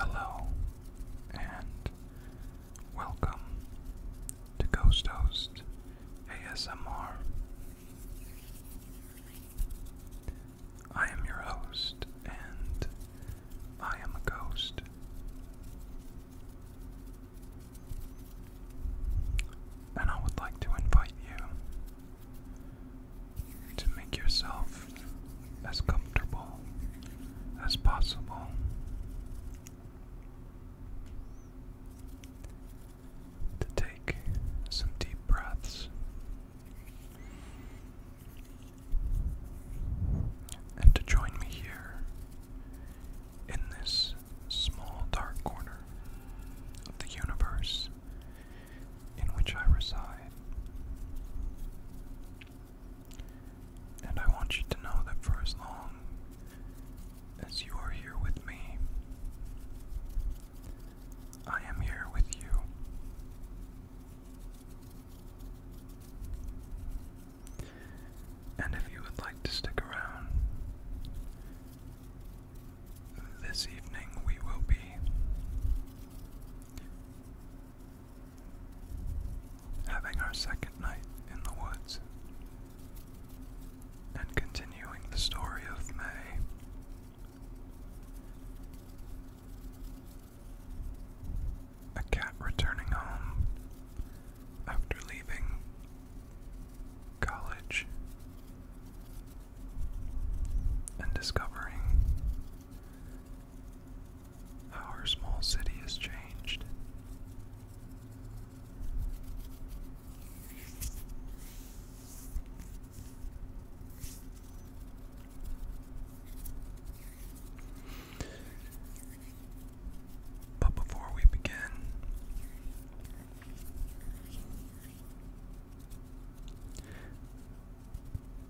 Hello and welcome to Ghost Host ASMR. I am your host and I am a ghost. And I would like to invite you to make yourself as comfortable as possible. To take some deep breaths and to join me here in this small dark corner of the universe in which I reside. And I want you to know that for as long as you are here with me, I am here with you. And if you would like to stick around, this evening we will be having our second night in the woods and continuing the story of May. A cat returning home after leaving college and discovering how our small city has changed. But before we begin,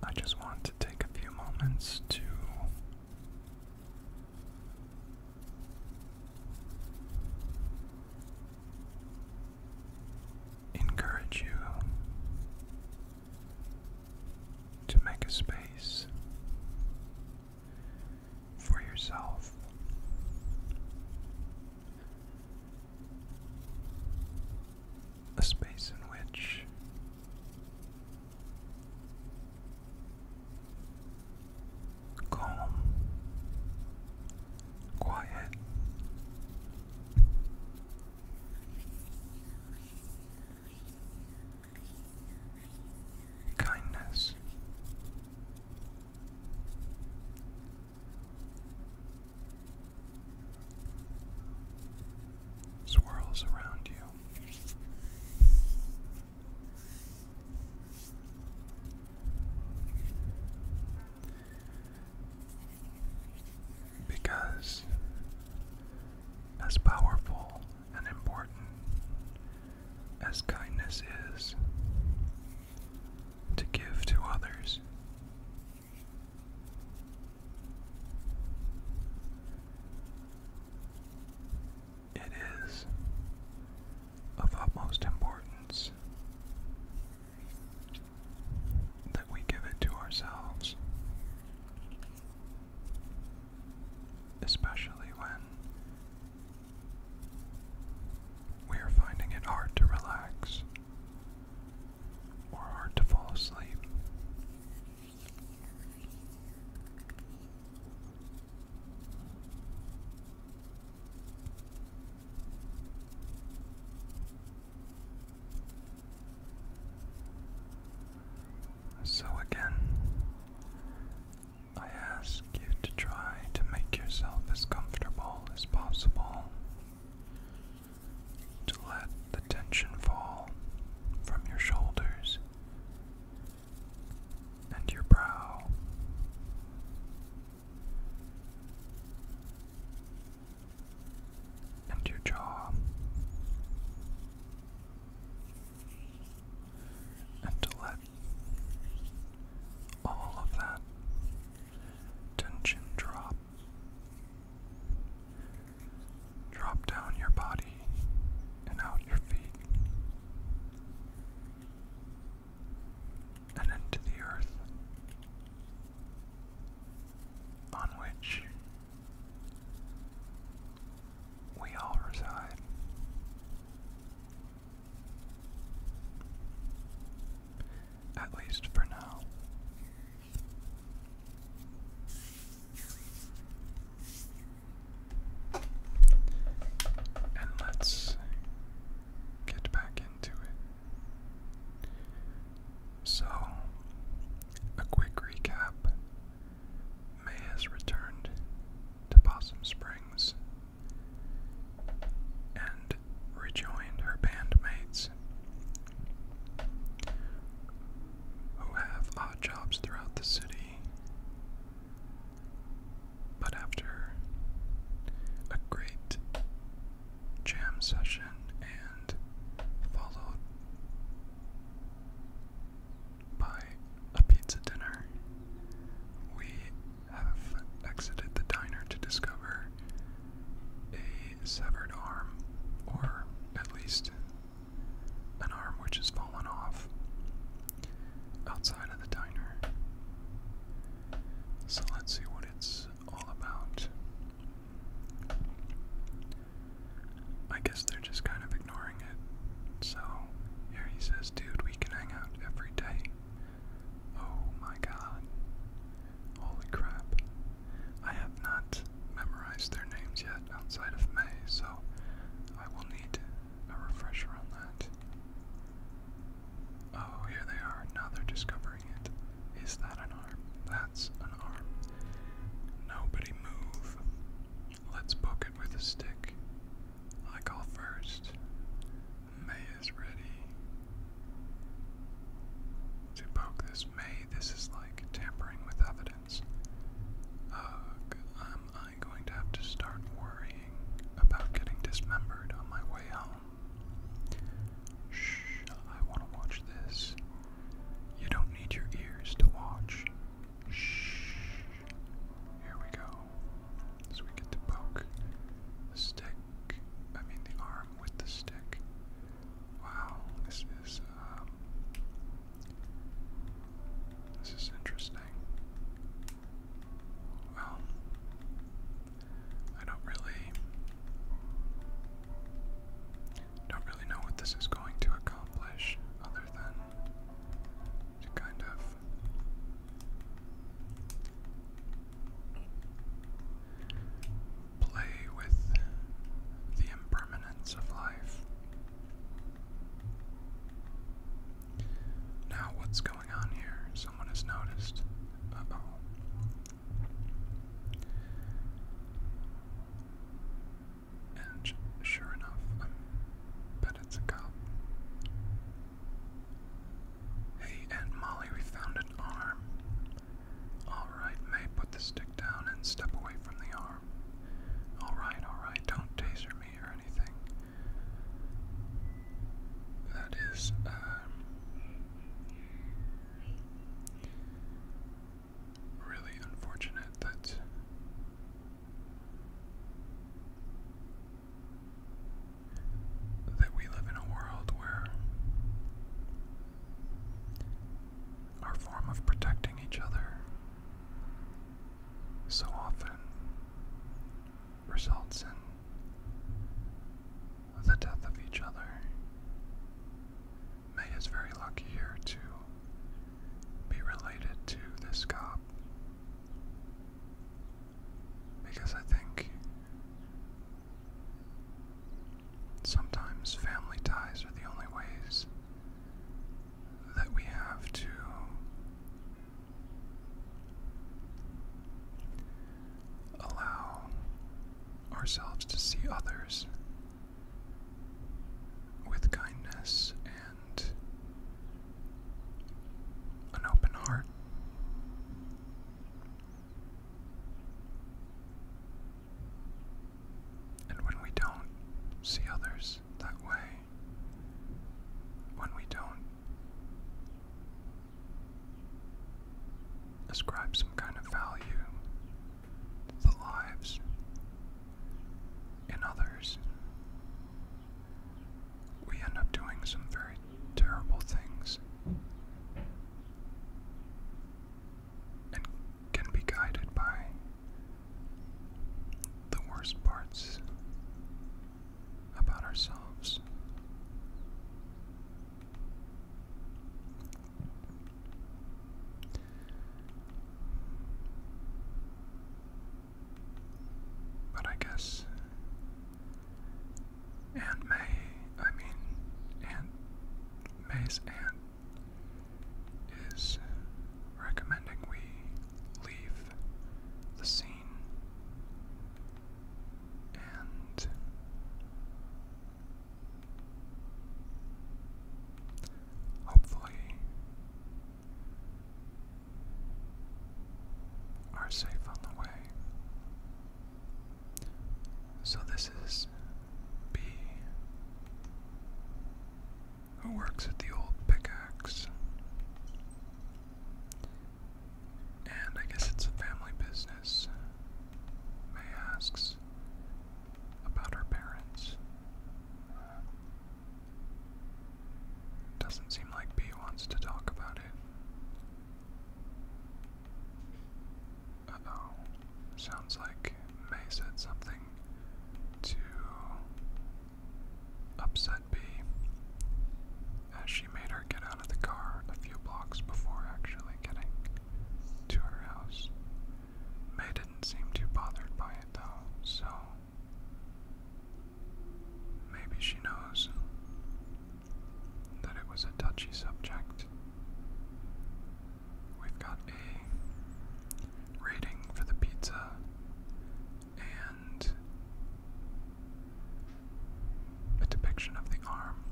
I just want to take a few moments to encourage you to make a space for yourself. A space in which calm, quiet, kindness swirls around you. Because, as powerful and important as kindness is, to give to others. It is of utmost importance that we give it to ourselves, especially when we are finding it hard to relax or hard to fall asleep. So, again, I ask you to try to make yourself as comfortable as possible, to let the tension fall from your shoulders and your brow. And your jaw, and to let all of that Tension drop. Drop down your body and out your feet and into the earth on which we all reside. At least for now. And let's get back into it. So, a quick recap May has returned to Possum Springs and rejoined her bandmates who have odd jobs throughout the city. But after a great jam session and followed by a pizza dinner, we have exited the diner to discover a severed arm, or at least an arm which has fallen off outside of the diner. So let's see what it's all about. I guess they're just kind of ignoring it. So here he says, dude, we can hang out every day. Oh my god. Holy crap. I have not memorized their names yet outside of May, so I will need a refresher on that. Oh, here they are. Now they're discovering it. Is that an arm? That's an arm. Nobody move. Let's poke it with a stick. I call first. May is ready. To poke this May, this is like tampering with evidence. Ugh, am I going to have to start worrying about getting dismembered on my way home? Shh, I want to watch this. You don't need your ears to watch. Shh. Here we go. So we get to poke the stick I mean the arm with the stick. Wow, this is um, this is interesting. Well, I don't really don't really know what this is going to accomplish other than to kind of Play with the impermanence of life. Now, what's going on here? Someone has noticed. oh. And sure enough, I bet it's a cop. Hey, Aunt Molly, we found an arm. Alright, May, put the stick down and step away from the arm. Alright, alright, don't taser me or anything. That is, um. Really unfortunate that that we live in a world where our form of protecting each other so often results in the death of each other. May is very lucky here to be related to this cop. Because I think sometimes family ties are the only ways that we have to allow ourselves to see others with kindness and an open heart. And when we don't see others that way, when we don't ascribe some kind of value to the lives in others, we end up doing some very terrible things and can be guided by the worst parts about ourselves. But I guess and May, I mean, Aunt May's aunt is recommending we leave the scene and hopefully are safe on the way. So this is B, who works at the old pickaxe. And I guess it's a family business. May asks about her parents. Doesn't seem like B wants to talk about it. Sounds like May said something to upset B as she made her get out of the car a few blocks before actually getting to her house. May didn't seem too bothered by it though, so maybe she knows that it was a touchy subject. We've got a rating for the pizza and a depiction of the arm.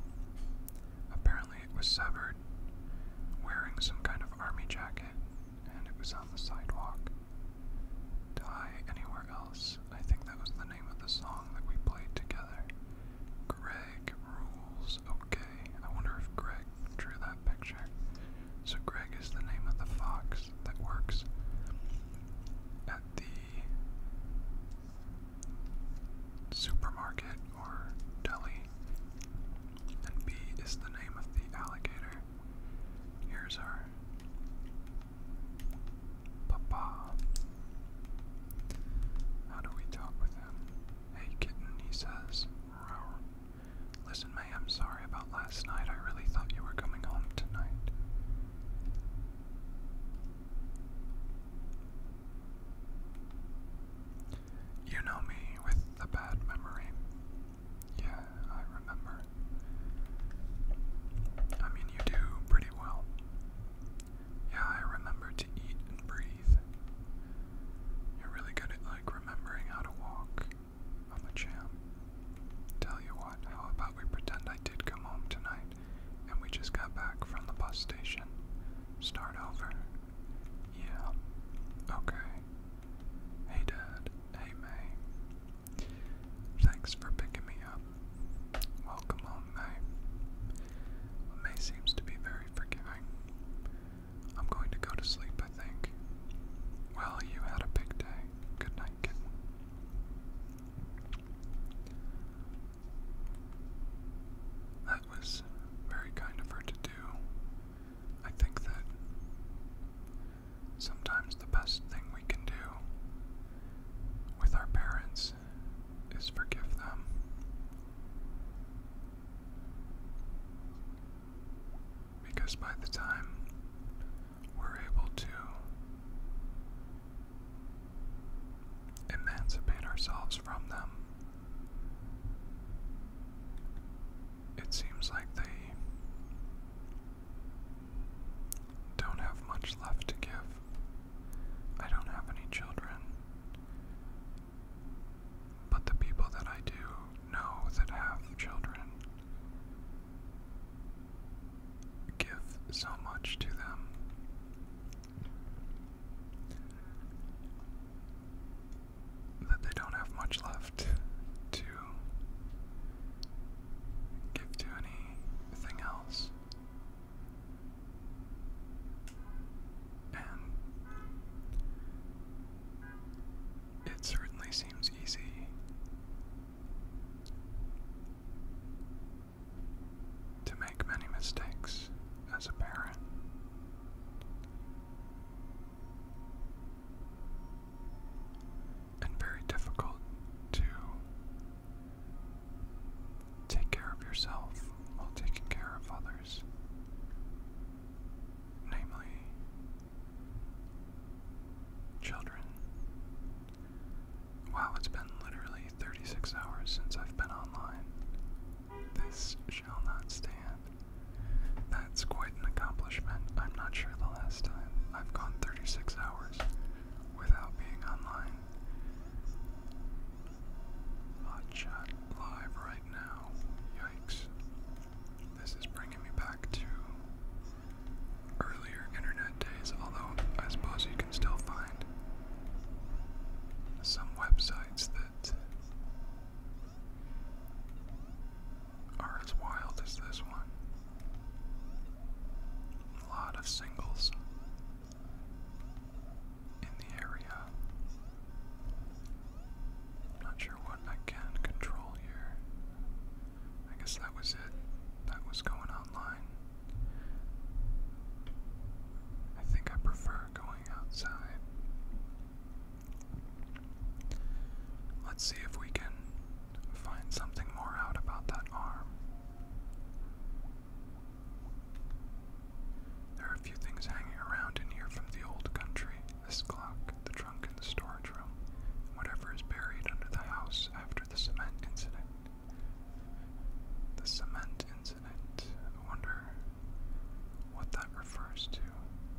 Apparently, it was severed, wearing some kind of army jacket, and it was on the sidewalk. Die Anywhere Else, I think that was the name of the song that we played together Greg rules. Okay, I wonder if Greg drew that picture. So Greg is the name of the fox that works at the supermarket or deli. And B is the name of the alligator. Here's our Papa. How do we talk with him? Hey, kitten, he says. Listen, May, I'm sorry about last night. I really thought you were coming home tonight. You know me with the bad memory. Yeah, I remember. I mean, you do pretty well. Yeah, I remember to eat and breathe. You're really good at like remembering how to walk. I'm a champ. Tell you what, how about we pretend I did come home tonight and we just got back from the bus station? Start over. Yeah. Okay. Hey, Dad. Hey, May. Thanks for picking me up. Welcome on May. May seems to be very forgiving. I'm going to go to sleep, I think. Well, you had a big day. Good night, kitten. That was very kind of her to do. I think that sometimes the best thing we can do with our parents is forgive them. Because by the time we're able to emancipate ourselves from them, it seems like they don't have much left to give. I don't have any children. But the people that I do know that have children give so much to them. That they don't have much left to give to anything else. And it certainly seems easy. To make many mistakes as a parent. And very difficult to Take care of yourself while taking care of others. Namely, children. Wow, it's been literally 36 hours since I've been online. This shall not stand. That's quite an accomplishment. I'm not sure the last time I've gone 36 hours without being online. Hot live right now. Yikes. This is bringing me back to earlier internet days, although I suppose you can still find some websites that are as wild as this one. A lot of singles in the area. I'm not sure what I can control here. I guess that was it. That was going online. I think I prefer going outside. Let's see if we can find something more out about that arm. There are a few things hanging around in here from the old country this clock, the trunk in the storage room, whatever is buried under the house after the cement incident. The cement incident. I wonder what that refers to.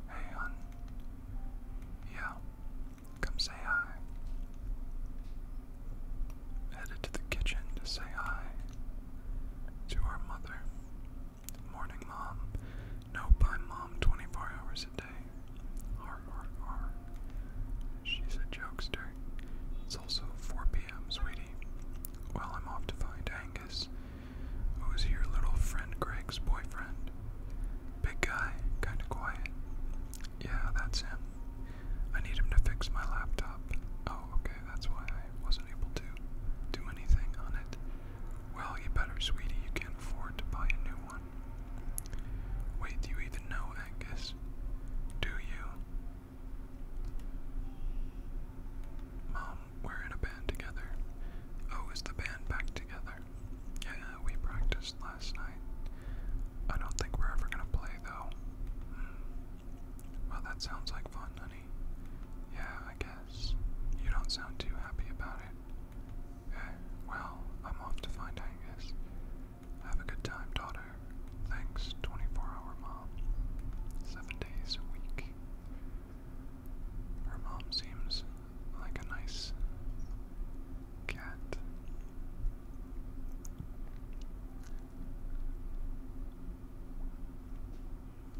Hey, hun. Yeah, come say hi headed to the kitchen to say hi to our mother. Morning, Mom. No, by Mom, 24 hours a day. Har, har, har. She's a jokester. It's also 4 p.m., sweetie. Well, I'm off to find Angus, who's your little friend Greg's boyfriend. Big guy, kinda quiet. Yeah, that's him. I need him to fix my laptop. Oh, okay, that's why I wasn't able to do anything on it. Well, you better, sweetie. You can afford to buy a new one. Wait, do you even know Angus? Do you? Mom, we're in a band together. Oh, is the band back together? Yeah, we practiced last night. I don't think we're ever gonna play though. Hmm. Well, that sounds like fun, honey. Yeah, I guess. You don't sound too happy about it. Eh, well, I'm off to find Angus. Have a good time, daughter. Thanks, 24 hour mom. Seven days a week. Her mom seems like a nice cat.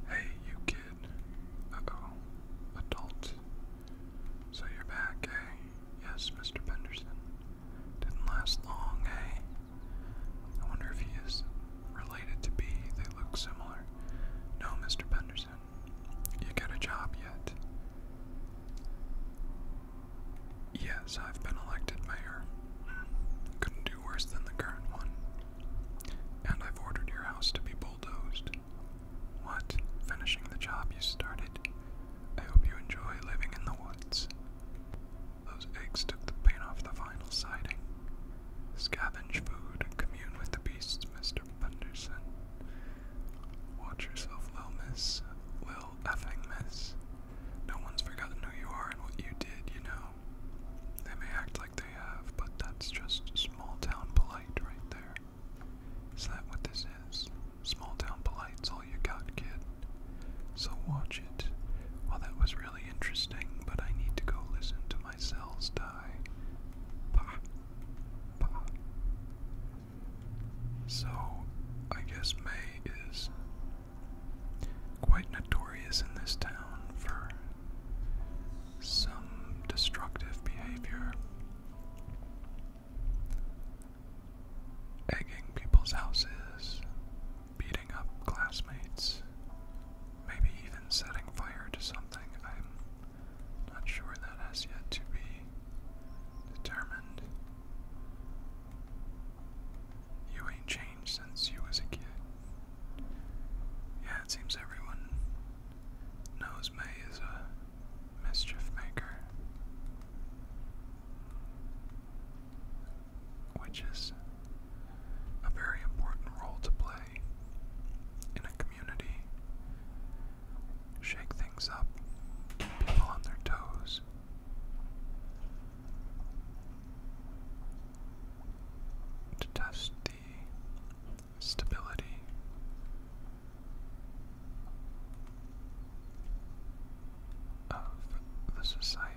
Hey, you kid. oh. Adult. So you're back, eh? Yes, Mr. Penderson. Didn't last long, eh? I wonder if he is related to B. They look similar. No, Mr. Penderson. You got a job yet? Yes, I've been elected mayor. Hmm. Couldn't do worse than the current one. And I've ordered your house to be bulldozed. What? Finishing the job you started? I hope you enjoy living in the woods. Those eggs took the paint off the final siding. Scavenge food, commune with the beasts, Mr. Punderson. Watch yourself, Lil Miss. Lil effing Miss. No one's forgotten who you are and what you did, you know. They may act like they have, but that's just small town polite right there. Is that what this is? Small town polite's all you got, kid. So watch it. Well, that was really interesting, but I need to go listen to my cells die. Bah. Bah. So, I guess May is quite notorious in this town for some destructive behavior. Egging people's houses, beating up classmates, maybe even setting fire to something. I'm not sure that has yet to be determined. You ain't changed since you was a kid. Yeah, it seems everyone knows May is a mischief maker. Which is a very important role to play in a community. Shake things up, keep people on their toes to test the stability. Of the society.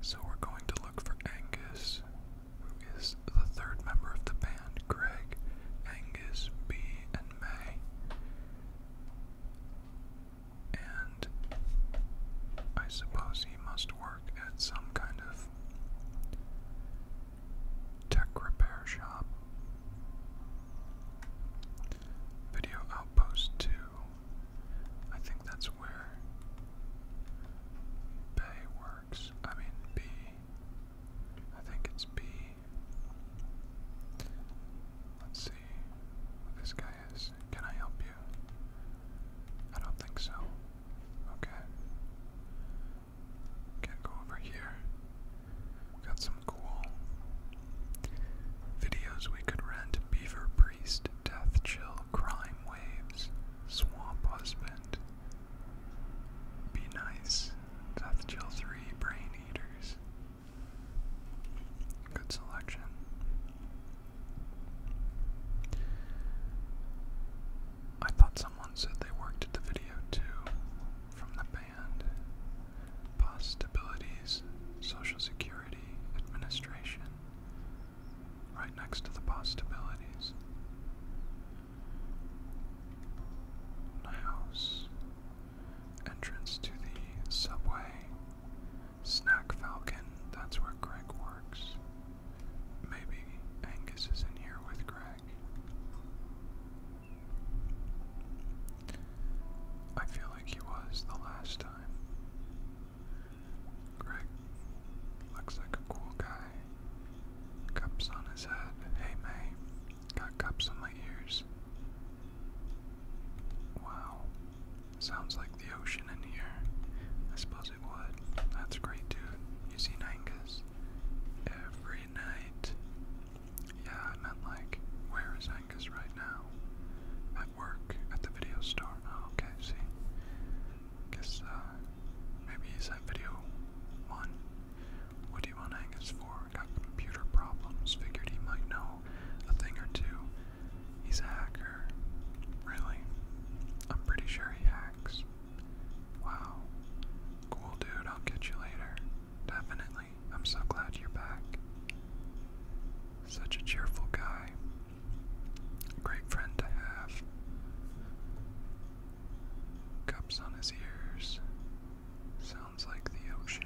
So we're going to look for Angus, who is the third member of the band Greg, Angus, B, and May and I suppose he must work at some kind of tech repair shop. Video Outpost 2. I think that's where Bay works. I mean, B. I think it's B. Let's see. This guy can I help you? I don't think so. Okay. Can't go over here. Got some cool videos we could rent Beaver Priest, Death Chill, Crime Waves, Swamp Husband. Be nice. Death Chill 3, Brain Eaters. Good selection. I thought someone said they worked at the video too from the band. Possibilities, Social Security, Administration. Right next to the possibilities. House. Entrance to the subway. Snack Falcon, that's where Greg works. Maybe Angus is in here with Greg. I feel like he was the last time. Greg looks like a cool guy. Cups on his head. Hey, May. Got cups on my ears. Wow. Sounds like the ocean in here. I suppose it would. That's great, dude. You see Angus every night. Yeah, I meant like, where is Angus right now? At work, at the video store. Oh, okay, see. Guess uh, maybe he's at video one. What do you want Angus for? Got computer problems. Figured he might know a thing or two. He's a hacker. Really? I'm pretty sure he hacks. Wow. Cool, dude. I'll get you later. Definitely. I'm so glad you're back. Such a cheerful guy. Great friend to have. Cups on his ears. Sounds like the ocean.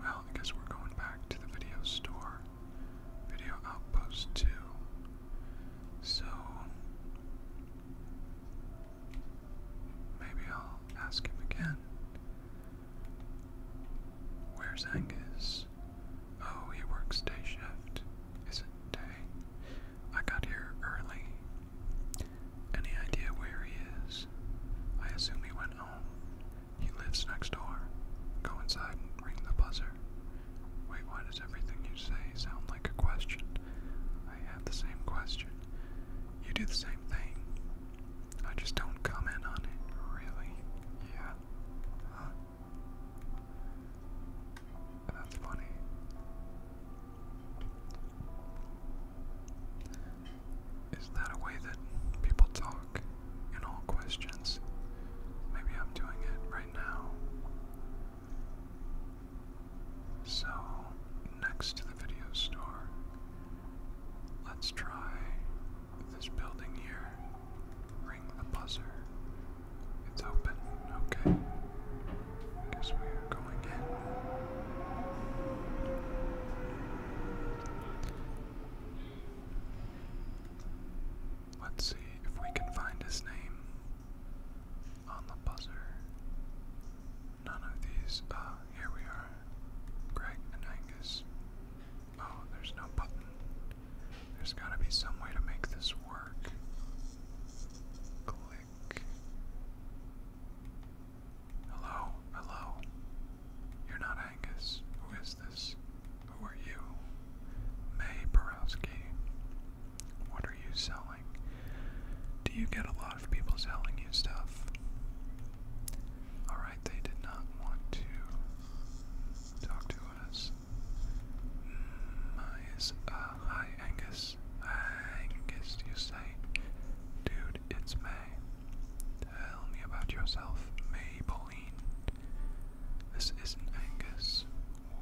Well, I we're going back to the video store. Video Outpost 2. So. Maybe I'll ask him again. Where's Angus? Oh, he works day shift. Is it day? I got here early. Any idea where he is? I assume he went home. He lives next door. Go inside and ring the buzzer. Wait, why does everything you say sound like a question? I have the same question. You do the same thing. I just don't comment on it, really. Yeah. Huh? That's funny. Is that a way that people talk in all questions? Maybe I'm doing it right now. So, next to the video store, let's try this building here. Ring the buzzer. It's open. Okay. Let's see if we can find his name on the buzzer. None of these. Ah, here we are. Greg and Angus. Oh, there's no button. There's gotta be some way to make this work. Hello, hello. You're not Angus. Who is this? Who are you? May Borowski. What are you selling? Do you get a lot of people selling you stuff? Alright, they did not want to talk to us. Mm, my uh, hi Angus. Angus, you say? Dude, it's May. Tell me about yourself, Maybelline. This isn't Angus.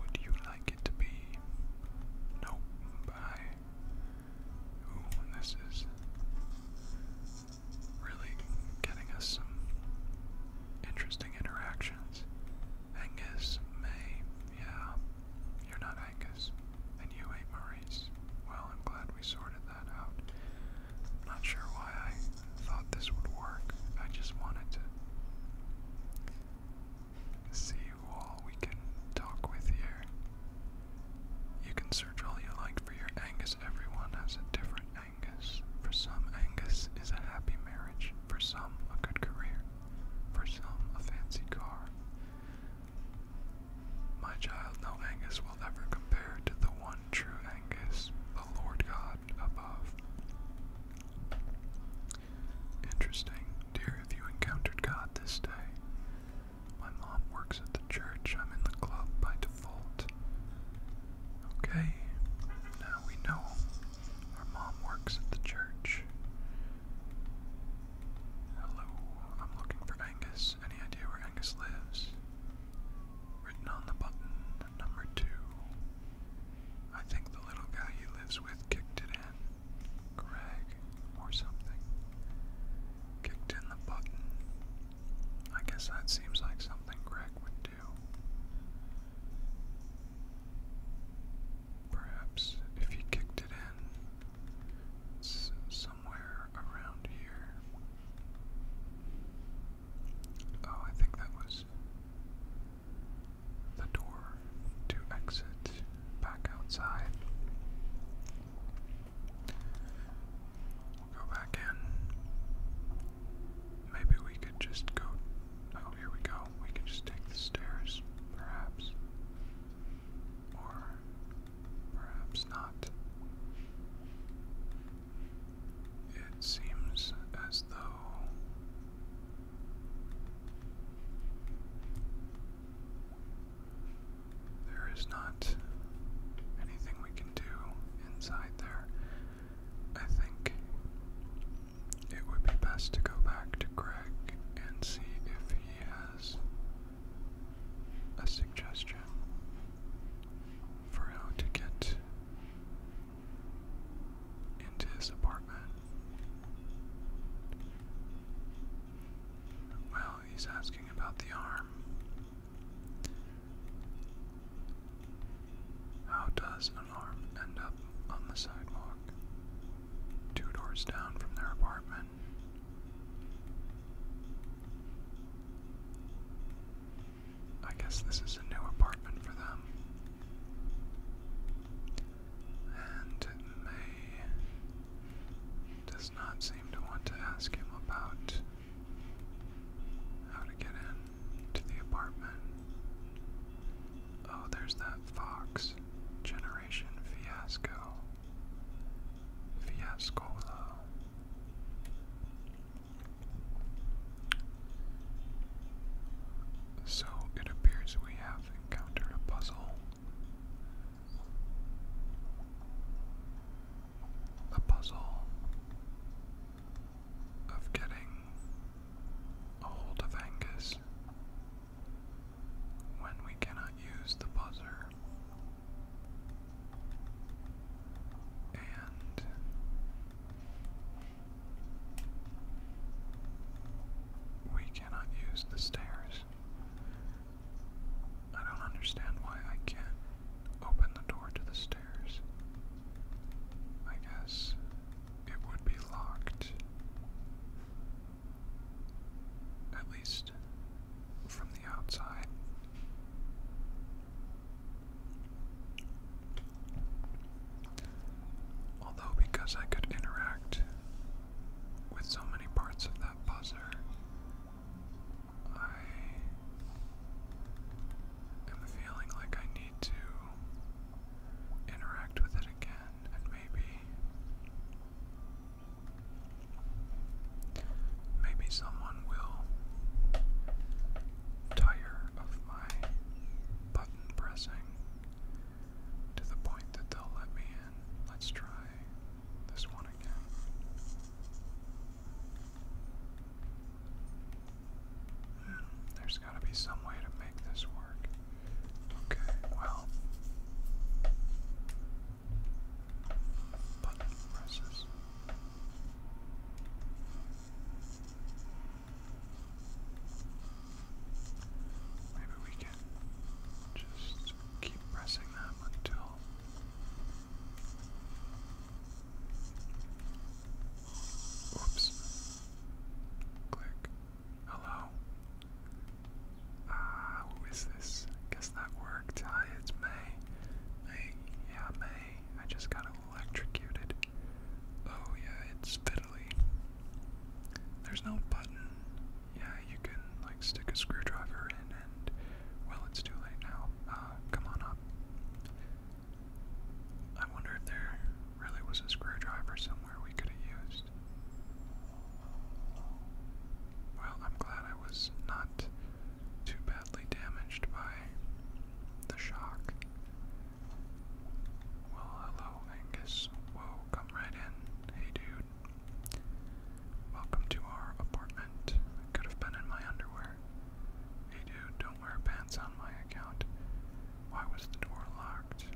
Would you like it to be? Nope, bye. Ooh, this is really getting us some interesting interactions. Angus, May, yeah, you're not Vegas, and you ate Maurice. Well, I'm glad we sorted that out. Not sure why I thought this would work. I just wanted to see who all we can talk with here. You can search all you like for your Angus. Everyone has a different Angus. For some, Angus is a happy marriage. For some, a good career. For some, a fancy car. My child, no Angus will ever compare to the one true Angus, the Lord God above. Interesting. Dear, have you encountered God this day? My mom works at the church. I'm in the club by default. Okay, now we know. Our mom works at the church. Hello, I'm looking for Angus. Any idea where Angus lives? Written on the button, number two. I think the little guy he lives with kicked it in. Greg, or something. Kicked in the button. I guess that seems like something Greg would do. Perhaps if he kicked it in, it's somewhere around here. Oh, I think that was the door to exit back outside. We'll go back in. Maybe we could just go. Oh, here we go. We could just take the stairs, perhaps. Or perhaps not. It seems as though there is not anything we can do inside there. I think it would be best to go back to Greg and see if he has a suggestion for how to get into his apartment. Well, he's asking about the arm. How does an arm end up on the sidewalk? Two doors down from their apartment. I guess this is a new apartment for them. And May does not seem to want to ask him about how to get in the apartment. Oh, there's that fox generator. Fiasco, Fiasco, So it appears we have encountered a puzzle. A puzzle of getting a hold of Angus when we cannot use the buzzer. And we cannot use the stairs. I don't understand why I can't open the door to the stairs. I guess it would be locked at least from the outside. Although, because I could interact with so many parts of that buzzer, I am feeling like I need to interact with it again and maybe Maybe someone will tire of my button pressing to the point that they'll let me in. Let's try this one again. Hmm, there's got to be some way to make this work. Okay, well, button presses. Maybe we can just keep pressing them until Oops. Click. Hello. Ah, who is this? Guess that worked. it's May. May, yeah, May. I just got electrocuted. Oh, yeah, it's fiddly. There's no button. Yeah, you can, like, stick a screwdriver in and. Well, it's too late now. Uh, come on up. I wonder if there really was a screwdriver somewhere we could have used. Well, I'm glad I was not too badly damaged by the shock. Well, hello, Angus. Whoa, come right in. Hey, dude. Welcome to our apartment. I could have been in my underwear. Hey, dude, don't wear pants on my account. Why was the door locked?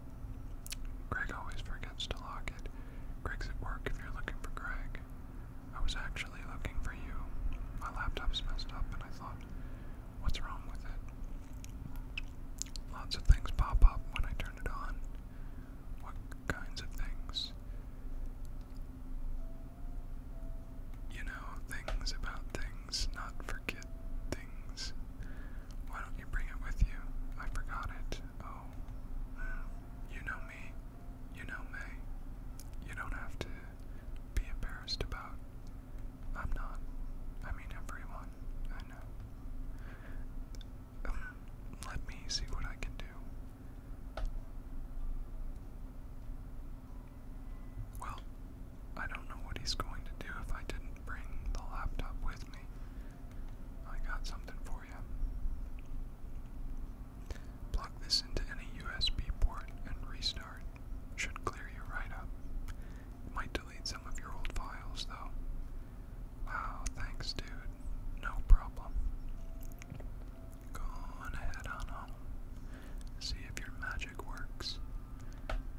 Greg always forgets to lock it. Greg's at work if you're looking for Greg. I was actually looking for you. My laptop's messed up, and I thought, what's wrong with it? Lots of things pop up when I turn it on. What kinds of things? You know, things about things, not forget things. Why don't you bring it with you? I forgot it. Oh, you know me. You know, May, you don't have to be embarrassed about. I'm not. I mean, everyone. I know. Um, let me see what I can do. Well, I don't know what he's going to do if I didn't bring the laptop with me. I got something for you. Plug this into any USB port and restart. Should clear you right up. might delete some of your old files though. Wow, thanks dude. No problem. Go ahead on See if your magic works.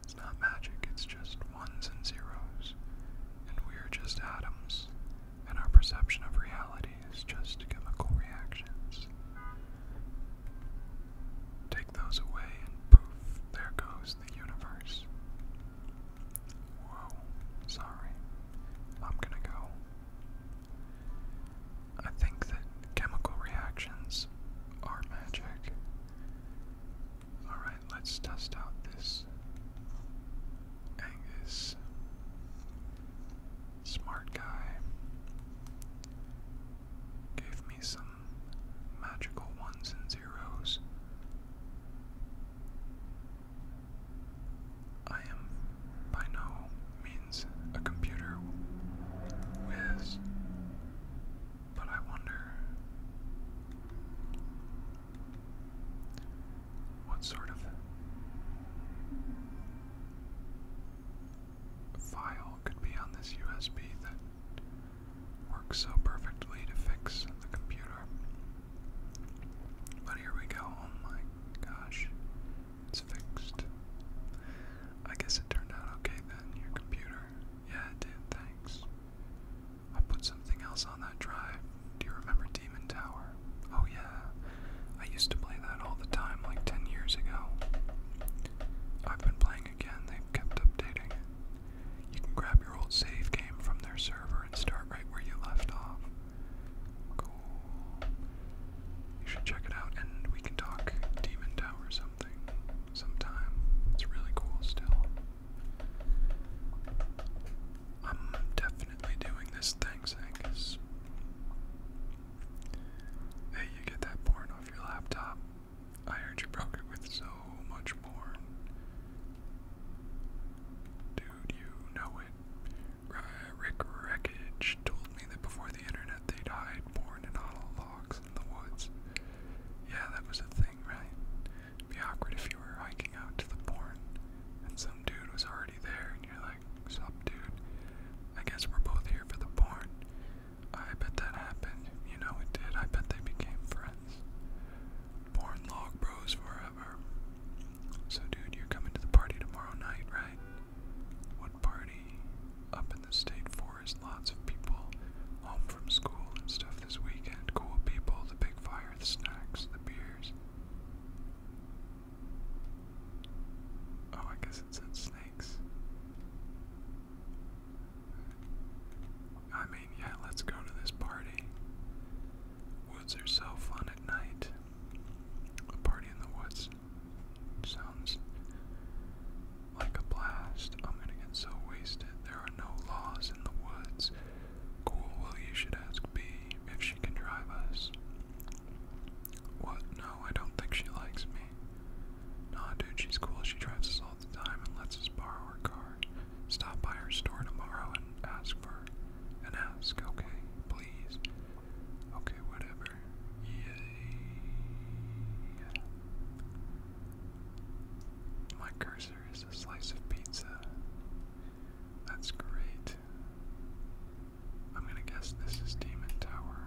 It's not magic, it's just ones and zeros. And we're just atoms and our perception of reality is just chemical reactions. Take those away, and poof, there goes the universe. Whoa, sorry, I'm gonna go. I think that chemical reactions are magic. Alright, let's test out this Angus Smart guy gave me some magical ones and zeros. I am by no means a computer whiz, but I wonder what sort of file could be on this USB that works so perfectly to fix the computer? But here we go. Oh gosh, it's fixed. I guess it turned out okay then, your computer. Yeah, it did, thanks. I put something else on that drive. Do you remember Demon Tower? Oh, yeah. I used to play that all the time, like 10 years ago. I've been playing again, they've kept updating it. You can grab your old save game from their server and start right where you left off. Cool. You should check it out and we can talk Demon Tower something sometime. It's really cool still. I'm definitely doing this thanks, Angus. Hey, you get that porn off your laptop. I heard you broke it with so much porn. Dude, you know it. Rick Wreckage told me that before the internet they'd hide porn in hollow logs in the woods. Yeah, that was a thing, right? It'd be awkward if you were hiking out to the porn and some dude was already there and you're like, What's dude? I guess we're both here for the porn. I bet that happened. You know it did. I bet they became friends. Porn log bros forever. So, dude, you're coming to the party tomorrow night, right? What party? Up in the state forest, lots of people home from school and stuff this weekend. Cool people, the big fire, the snacks, the beers. Oh, I guess it said snakes. I mean, yeah, let's go to this party. Woods are so fun at night. A party in the woods sounds like a blast. I'm gonna get so wasted. There are no laws in the woods. Cool, well, you should ask B if she can drive us. What? No, I don't think she likes me. Nah, dude, she's cool. She drives us all the time and lets us borrow her car. Stop by her store tomorrow and ask for an ask, okay? Please. Okay, whatever. Yeah. My cursor is a slice of pizza. That's great. I'm gonna guess this is Demon Tower.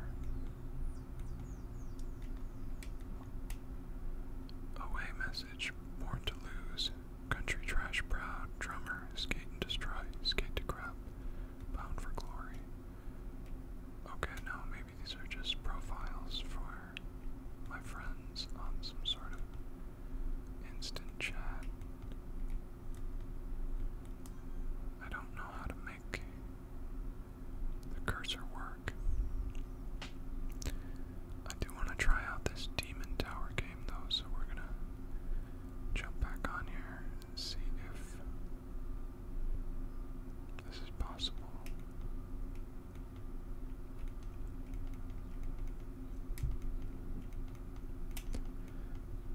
Away message, born to lose. Country trash proud, drummer, skate and destroy, skate to crap, bound for glory. Okay, no, maybe these are just profiles for my friends on some sort of instant chat. I don't know how to make the cursor work. I do want to try out this Demon Tower game though, so we're gonna jump back on here and see if this is possible.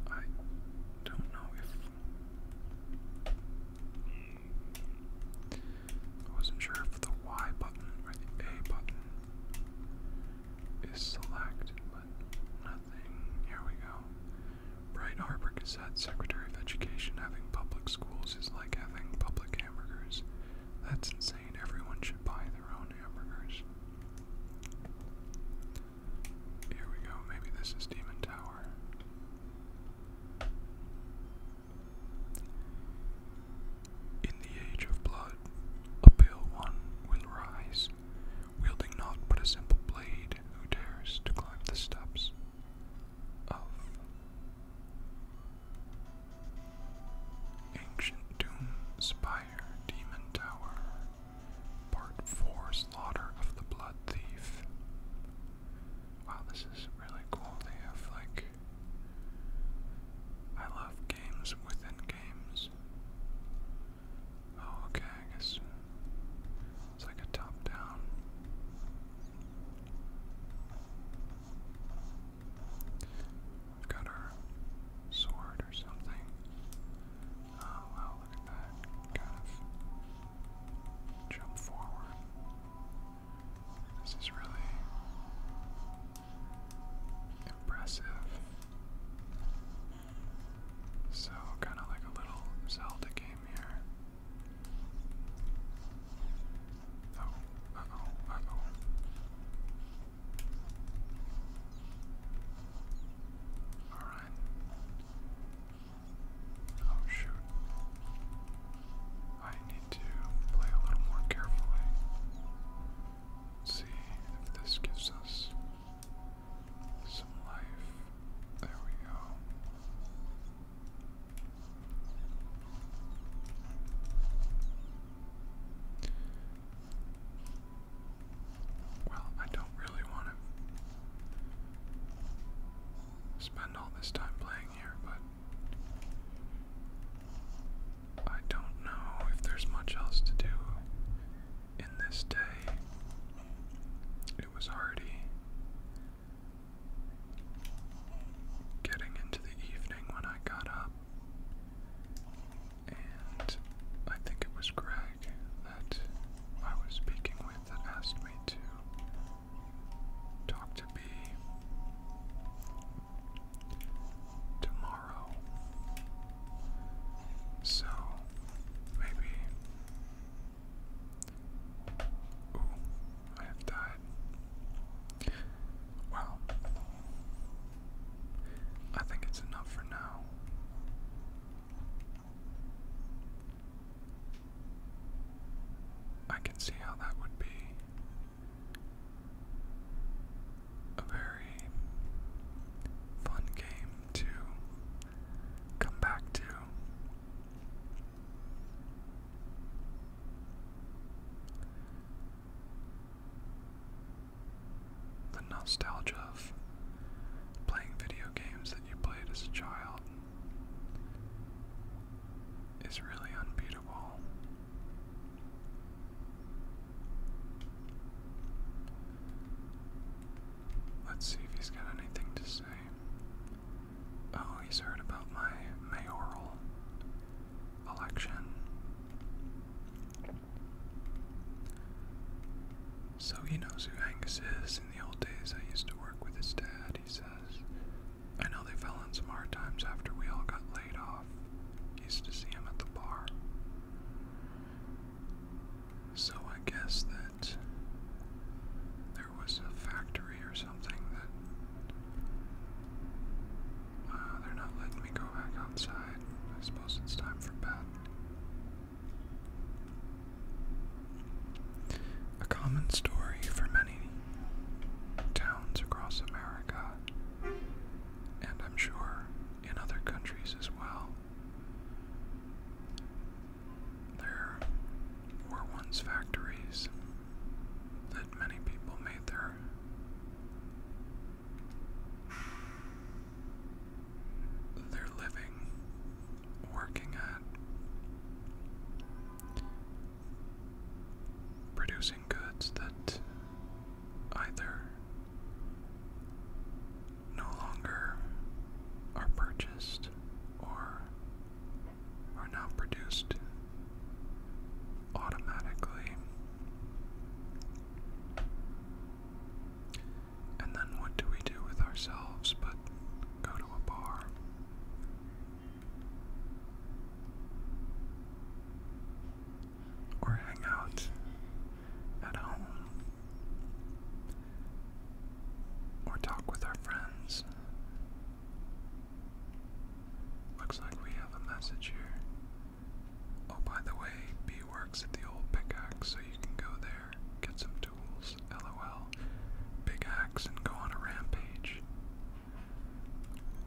I don't know if I wasn't sure if the Y button or the A button is select, but nothing. Here we go. Bright Harbor Gazette, Secretary of Education, having public schools is like having public hamburgers. That's insane. Everyone should buy their own hamburgers. Here we go. Maybe this is Demon Tower. In the age of blood, a pale one will rise, wielding naught but a simple blade who dares to climb the steps of ancient doom spire demon tower. Part 4 Slaughter of the Blood Thief. Wow, this is really cool. They have like. I love games within games. Oh, okay, I guess it's like a top down. got our sword or something. Oh wow, look at that. Kind of jump forward. This is really impressive. So, kind of like a little Zelda game here. Oh, uh oh, Alright. Oh shoot. I need to play a little more carefully. see if this gives us some life. There we go. Well, I don't really want to spend all this time playing here, but I don't know if there's much else to do in this day. It was already getting into the evening when I got up and I think it was Greg that I was speaking with that asked me to talk to be tomorrow. So maybe. I have died. Well, I think it's enough for now. I can see how that would be a very fun game to come back to the nostalgia of playing video games that you played as a child is really unbeatable. Let's see if he's got anything to say. Oh, he's heard about my mayoral election. So he knows who Angus is. In the old days, I used to work with his dad, he says. I know they fell on some hard times after we all got laid off. Used to see him at the bar. So I guess that there was a factory or something that uh, they're not letting me go back outside. I suppose it's time for bed. A common story for many towns across America, and I'm sure in other countries as well. There were once factories that many people made their they're living, working at, producing goods that either no longer are purchased or are now produced automatically. And then what do we do with ourselves but go to a bar? Or hang out at home? Or talk with our friends? Looks like we have a message here. Oh, by the way, B works at the old pickaxe, so you can go there get some tools, lol, big axe, and go on a rampage.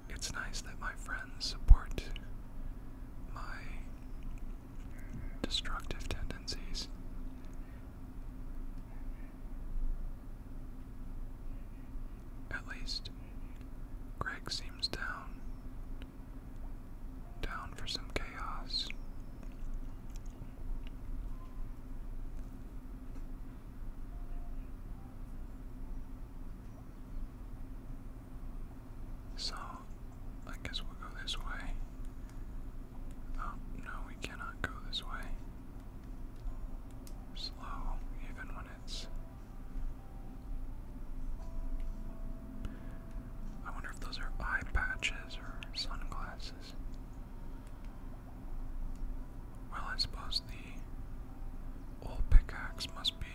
It's nice that my friends support my destructive tendencies. At least, Greg seems down down for some chaos. So, I guess we'll go this way. Oh, no, we cannot go this way. Slow, even when it's. I wonder if those are eye patches or sunglasses. Well, I suppose the old pickaxe must be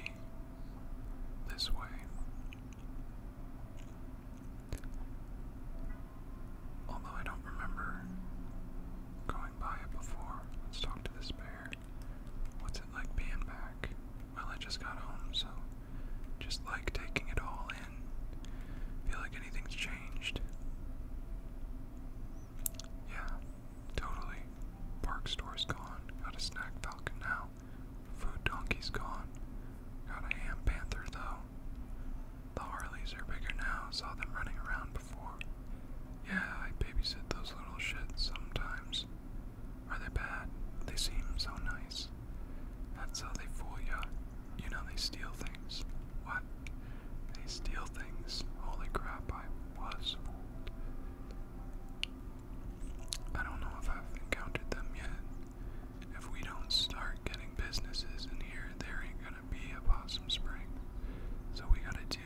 this way. Although I don't remember going by it before. Let's talk to this bear. What's it like being back? Well, I just got home, so just like taking it all in. Feel like anything's changed. Yeah, totally. Park store's gone. Got a snack falcon now. Food donkey's gone. Got a ham panther though. The Harleys are bigger now. Saw them running around before. Yeah, I babysit those little shits sometimes. Are they bad? They seem so nice. That's how they fool ya. You know they steal things. What? They steal things. Holy crap, I was I don't know if I've encountered them yet. If we don't start getting businesses in here, there ain't gonna be a Possum Spring. So we gotta do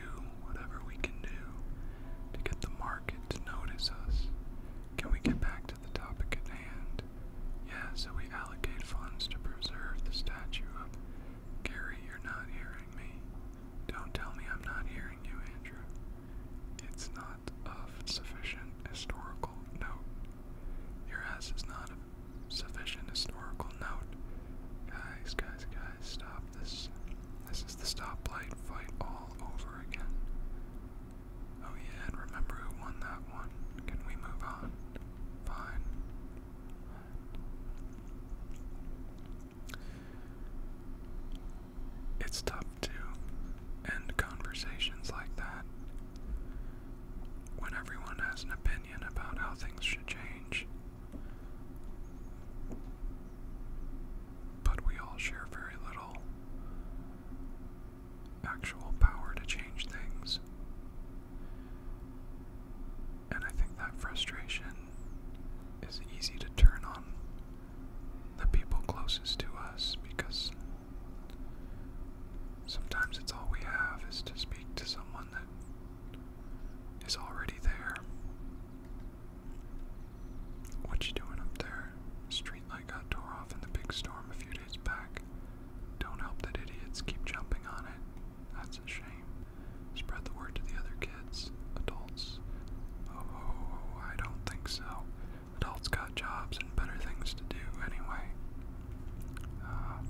whatever we can do to get the market to notice us. Can we get back to the topic at hand? Yeah, so we allocate funds to preserve the statue of Gary, you're not hearing me. Don't tell me I'm not hearing you, Andrew. It's not of sufficient historical note. Your ass is not of sufficient historical note. Guys, guys, guys, stop this. This is the stoplight fight all over again. Oh yeah, and remember who won that one. Can we move on? Fine. It's tough to end conversations like that when everyone has an opinion about how things should change. But we all share very little actual power to change things. And I think that frustration is easy to turn on the people closest to us because sometimes it's all we have is to speak to someone that is already there. What you doing up there? Streetlight got tore off in the big storm a few days back. Don't help that idiots keep jumping on it. That's a shame. Spread the word to the other kids, adults. Oh, I don't think so. Adults got jobs and better things to do anyway. Uh,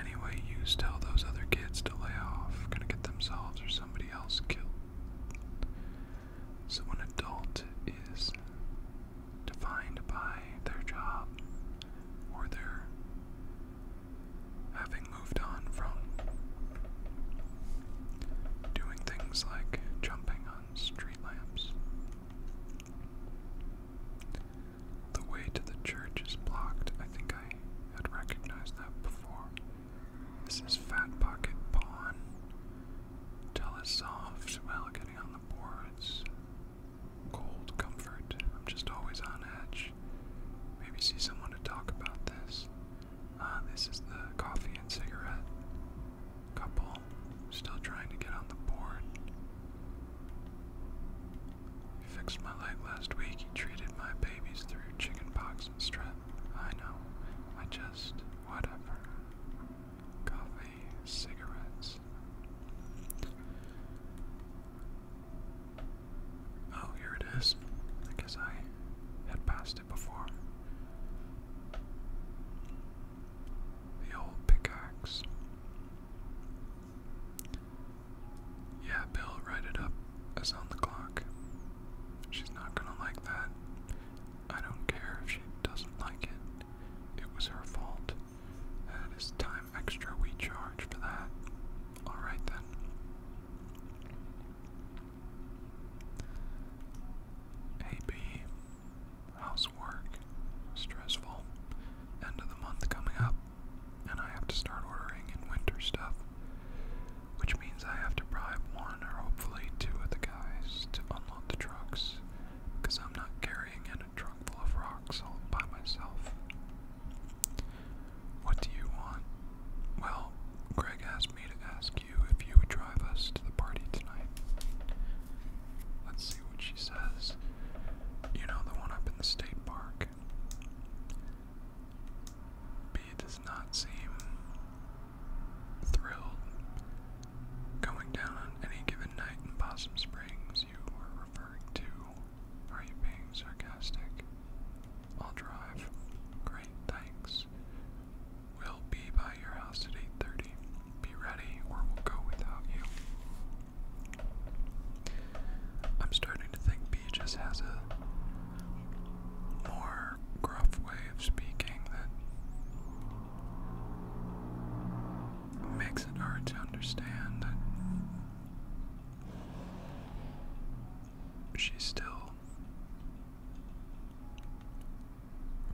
anyway, you tell those other kids to lay off, gonna get themselves or somebody else killed. So, an adult is defined by their job or their having moved on from doing things like jumping on street lamps. The way to the church is blocked. I think I had recognized that before. This is Fat Pocket Pawn. Tell us off while getting on boards. Cold comfort. I'm just always on edge. Maybe see someone to talk about this. Uh, this is the coffee and cigarette couple. Still trying to get on the board. He fixed my leg last week. He treated my babies through chicken pox and strep. I know. I just. Whatever. Coffee cigarettes. Oh, here it is. I guess I had passed it before. The old pickaxe. Yeah, Bill, write it up as on the clock. She's not gonna like that. I don't care if she doesn't like it. It was her fault. It is time extra we charge for that. Alright then. AB, housework, stressful. End of the month coming up, and I have to start ordering in winter stuff, which means I have to bribe one or hopefully two of the guys to unload the trucks, because I'm not carrying it a trunk full of rocks all by myself. What do you want? Well, Greg asked me to ask you if you would drive us to the party tonight. Let's see what she says. You know the one up in the state park. B does not seem thrilled going down on any given night in Possum Springs you were referring to. Are you being sarcastic? I'll drive. Great, thanks. We'll be by your house at 8.30. Be ready or we'll go without you. I'm starting to think B just has a more gruff way of speaking than makes it hard to understand. She's still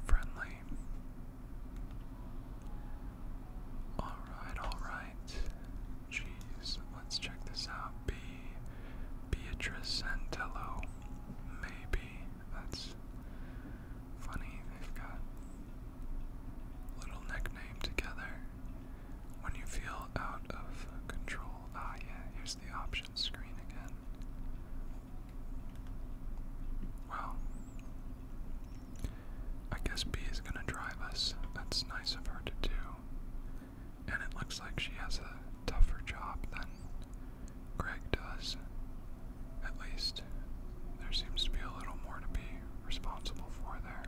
friendly. Alright, alright. Jeez, let's check this out. B. Beatrice Santello. Maybe. That's funny. They've got little nickname together. When you feel out of control. Ah, yeah, here's the options screen again. Well, I guess B is gonna drive us. That's nice of her to do. And it looks like she has a tougher job than Greg does. At least, there seems to be a little more to be responsible for there.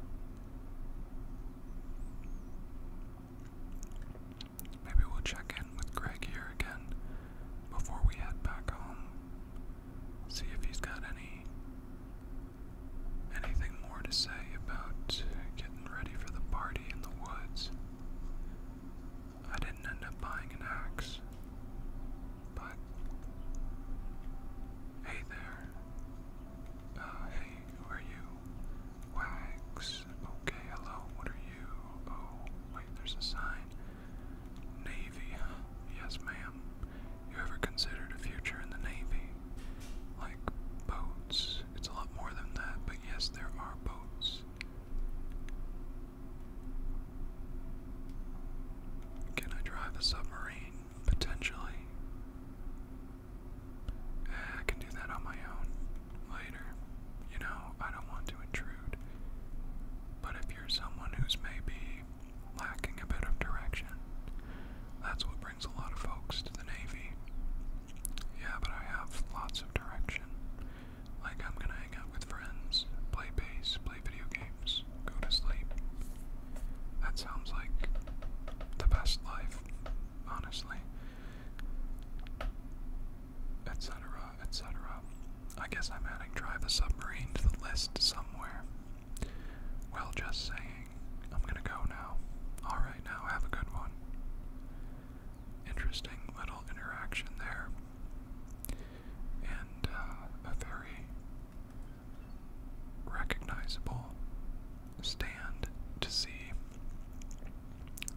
Maybe we'll check in with Greg here again before we head back home. See if he's got any anything more to say about getting ready for the party in the woods. I didn't end up buying an axe. But hey there. Uh, hey, who are you? Wax. Okay, hello. What are you? Oh, wait. There's a sign. Navy. Huh? Yes, ma'am. You ever considered a future in the Navy? Like boats. It's a lot more than that, but yes, there are boats. Can I drive a submarine? Potentially. Eh, I can do that on my own later. You know, I don't want to intrude. But if you're someone who's maybe lacking a bit of direction, that's what brings a lot of folks to the Navy. Yeah, but I have lots of direction. Like, I'm gonna hang out with friends, play bass, play video games, go to sleep. That sounds like the best life, honestly. Etc., etc. I guess I'm adding Drive the Submarine to the list somewhere. Well, just saying, I'm gonna go now. Alright, now have a good one. Interesting little interaction there. And uh, a very recognizable stand to see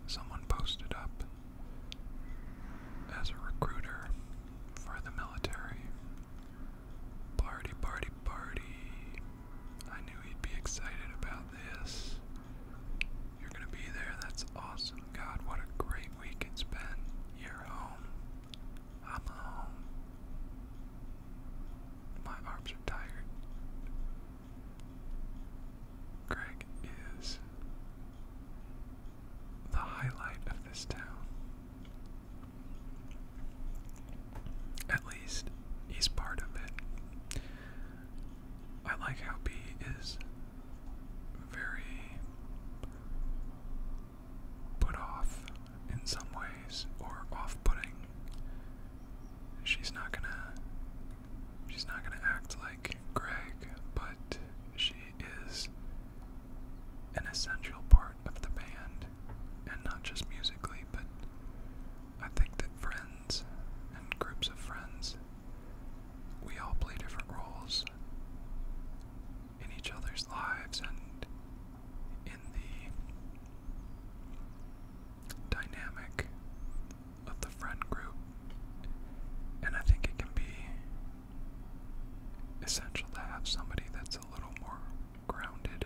someone posted up as a recruiter for the military. Party, party, party. I knew he'd be excited about this. You're gonna be there, that's awesome. God, what a great week it's been. You're home. I'm home. My arms are tired. Greg is the highlight of this town. At least he's part of it. I like how B is very put off in some ways or off putting. She's not gonna she's not gonna act like Greg, but she is an essential part of the band and not just musically, but I think that friends and groups of friends we all play different roles in each other's lives and in the dynamic of the friend group. And I think it can be essential to have somebody that's a little more grounded,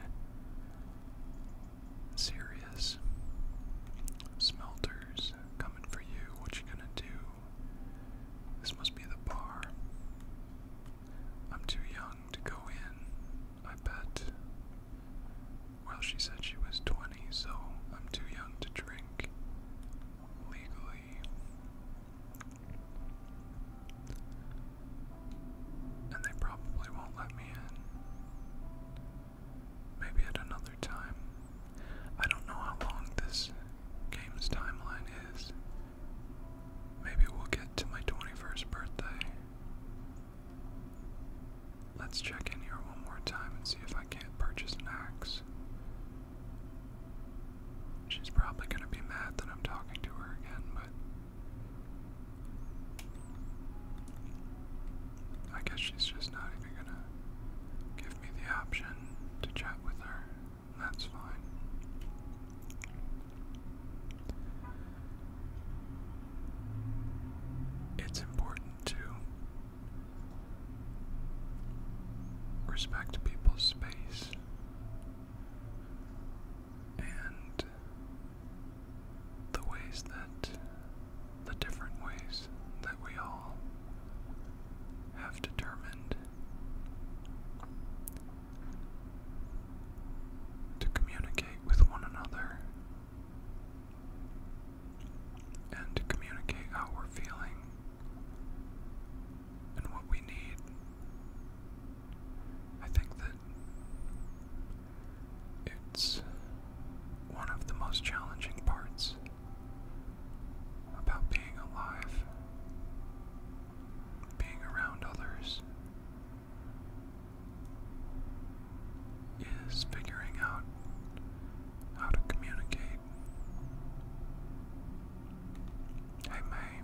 serious. Smelters coming for you. What you gonna do? This must be the bar. I'm too young to go in, I bet. Well, she said she was 20, so I'm too young to drink legally. And they probably won't let me in. Maybe at another time. I don't know how long this game's timeline is. Maybe we'll get to my 21st birthday. Let's check in here one more time and see if I can't purchase an axe. She's probably going to be mad that I'm talking to her again, but I guess she's just not even going to give me the option to chat with her. That's fine. It's important to respect people's space and the ways that the different ways that we all have determined to communicate with one another and to communicate how we're feeling and what we need. I think that it's one of the most challenging parts about being alive being around others is figuring out how to communicate. Hey May,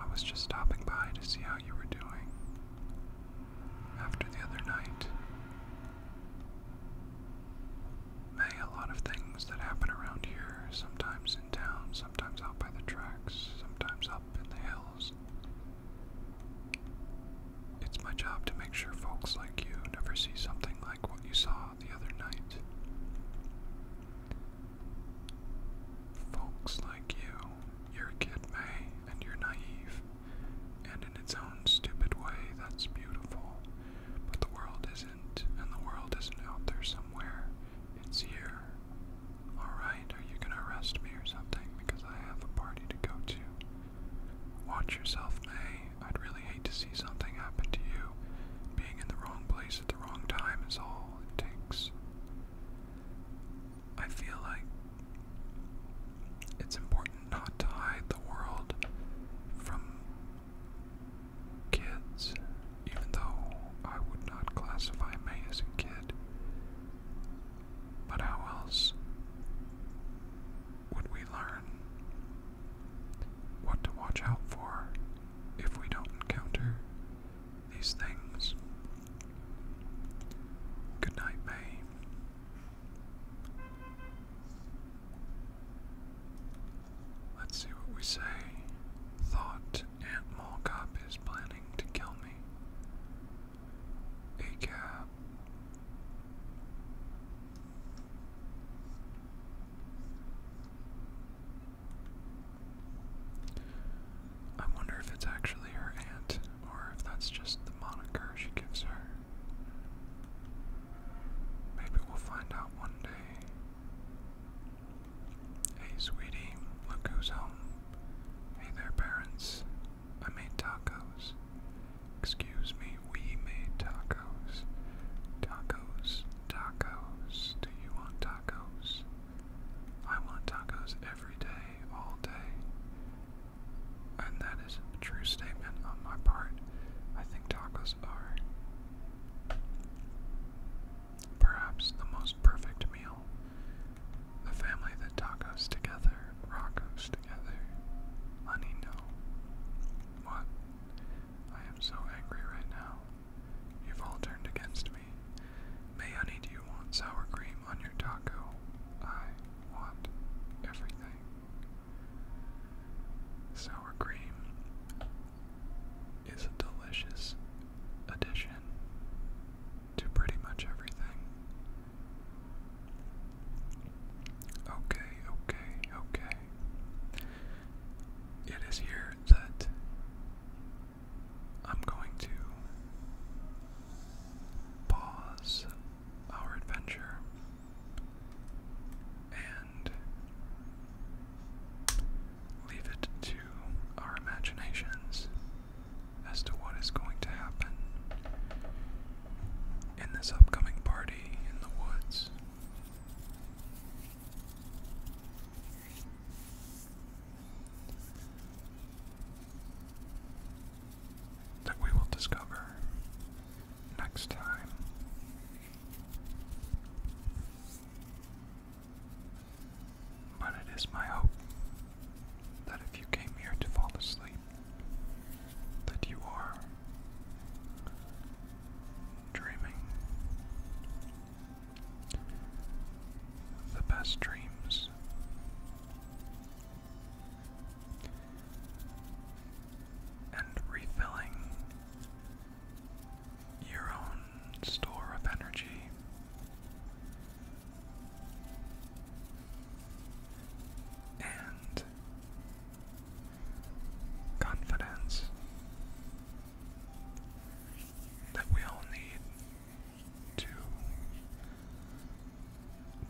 I was just stopping by to see how you were doing after the other night. May, a lot of things that happen around here sometimes and sometimes out by the tracks, sometimes up in the hills. It's my job to make sure folks like you never see something like what you saw the other night. Folks like you, you're a kid, May, and you're naive, and in its own stupid way, that's beautiful. But the world is and the world isn't out there somewhere. It's here. Alright, are you gonna arrest me or something? Because I have a party to go to. Watch yourself, May. I'd really hate to see something happen to you. Being in the wrong place at the wrong time is all it takes. I feel like it's important not to hide the world from kids, even though I would not classify May as a kid. But how else would we learn what to watch out for if we don't encounter these things? Good night, May. Let's see what we say. Thought Aunt Molcop is planning to kill me. A I wonder if it's actually her aunt, or if that's just the moniker she gives her. Maybe we'll find out one day. Hey, sweetie, look who's home. Hey there, parents. I made tacos. Excuse me, we made tacos. Tacos, tacos. Do you want tacos? I want tacos every day, all day. And that is a true statement on my part. I think tacos are. Perhaps the most perfect meal. The family that tacos together, rocos together. Honey, no. What? I am so angry right now. You've all turned against me. May honey, do you want sour cream on your taco? I want everything. Sour cream is a delicious addition to pretty much everything. Okay, okay, okay. It is here that I'm going to pause our adventure and Leave it to our imaginations as to what is going to happen in this upcoming party in the woods. That we will discover next time. But it is my hope that if you came here to fall asleep, that you are dreaming the best dreams. And refilling your own store of energy. And confidence that we all need to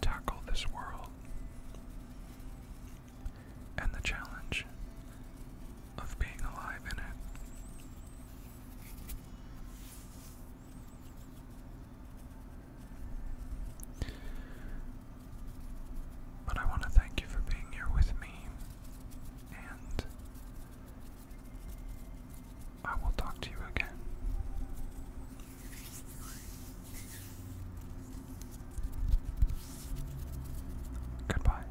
tackle this world and the challenge of being alive in it. But I want to thank you for being here with me, and I will talk to you again. Goodbye.